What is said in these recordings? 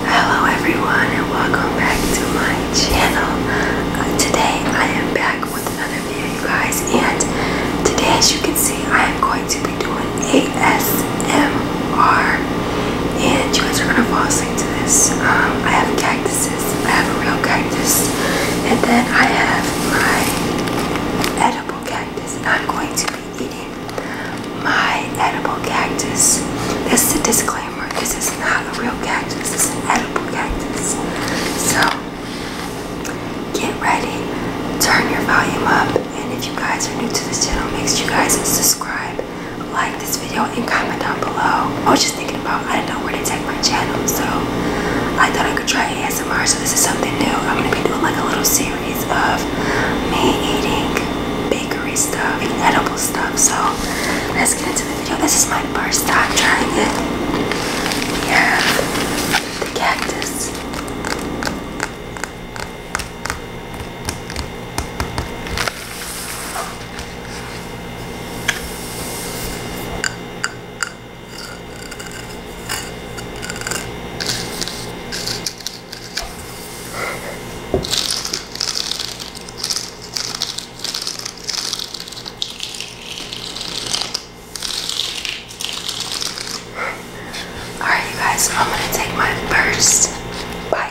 Hello everyone and welcome back to my channel. Uh, today I am back with another video you guys and today as you can see I am going to be doing ASMR and you guys are going to fall asleep to this. Um, I have cactuses, I have a real cactus and then I have my edible cactus and I'm going to eating my edible cactus. This is a disclaimer. because it's not a real cactus. It's an edible cactus. So get ready. Turn your volume up. And if you guys are new to this channel, make sure you guys subscribe, like this video, and comment down below. I was just thinking about I don't know where to take my channel, so I thought I could try ASMR. So this is something new. I'm gonna be doing like a little series of me eating bakery stuff and edible stuff. So let's get into the video. This is my first time trying it. We the cactus. All right, you guys, I'm gonna take my first bite.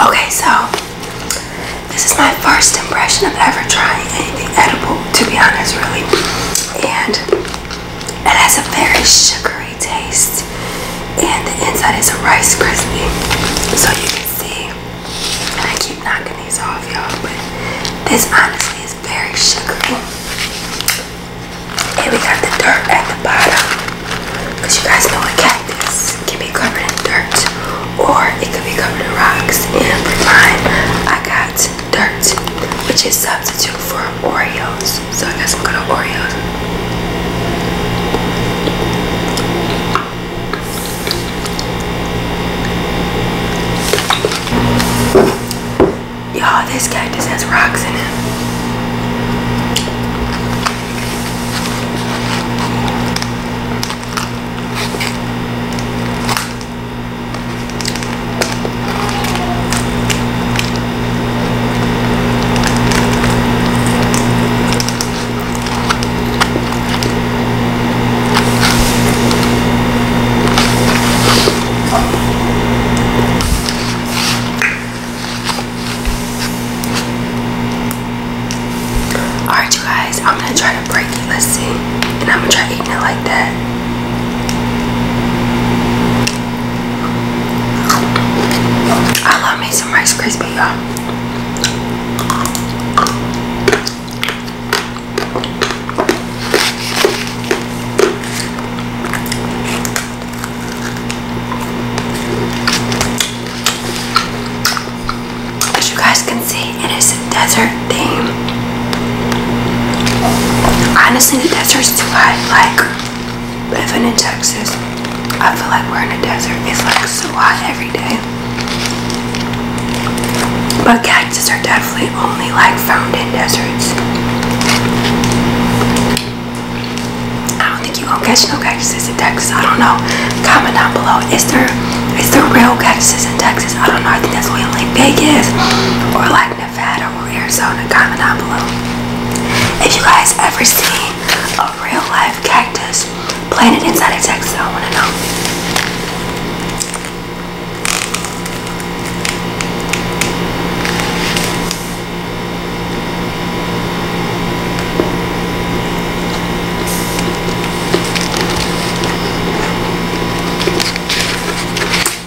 Okay, so this is my first impression of ever trying anything edible, to be honest, really. And it has a very sugary taste and the inside is rice crispy so you can see and I keep knocking these off y'all but this honestly is very sugary and we got the dirt at the bottom because you guys know a cactus can be covered in dirt or it could be covered in rocks and for mine I got dirt which is substitute for Oreos Oreos, so I got some good old Oreos. Y'all, this cactus has rocks in it. Alright you guys, I'm gonna try to break it. Let's see. And I'm gonna try eating it like that. I love me some Rice Krispie, you As you guys can see, it is a desert theme. Honestly, the desert is too hot. Like, living in Texas, I feel like we're in a desert. It's like so hot every day. But cactus are definitely only like found in deserts. I don't think you gonna catch no cactuses in Texas. I don't know. Comment down below. Is there is there real cactuses in Texas? I don't know. I think that's only in like Vegas or like Nevada Arizona. Comment down below. If you guys ever see a real life cactus planted inside a Texas, I want to know.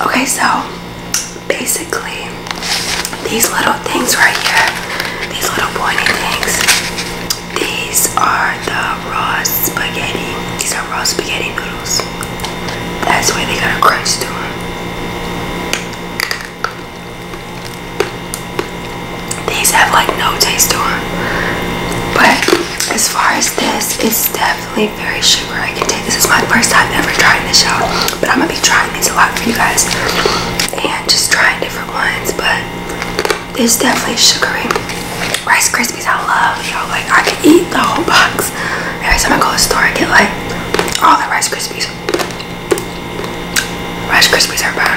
Okay, so basically, these little things right here, these little pointy things, these are the raw spaghetti. These are raw spaghetti noodles. That's why they got a crunch to them. These have like no taste to them, but as far as this, it's definitely very sugary. I can take this is my first time ever trying this out, but I'm gonna be trying these a lot for you guys and just trying different ones. But it's definitely sugary. Rice Krispies, I love y'all. Like I could eat the whole box. Every time I go to the store, I get like all the Rice Krispies. Rice Krispies are bomb.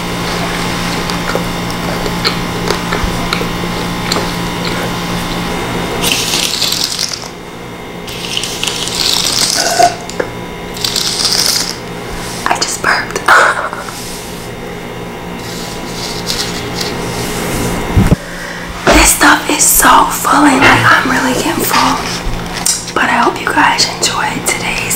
I just burped. this stuff is so full and like I'm really getting full. But I hope you guys enjoyed today's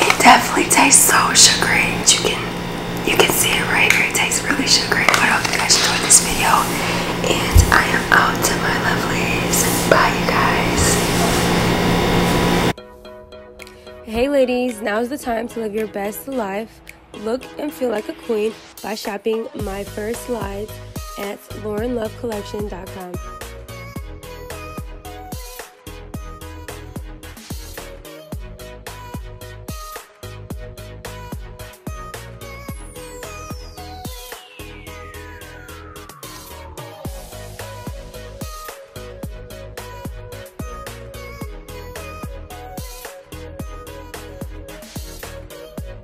it definitely tastes so sugary. You can you can see it right here. It tastes really sugary. But I hope you guys enjoyed this video. And I am out to my lovelies. Bye you guys. Hey ladies, now's the time to live your best life. Look and feel like a queen by shopping my first slides at laurenlovecollection.com.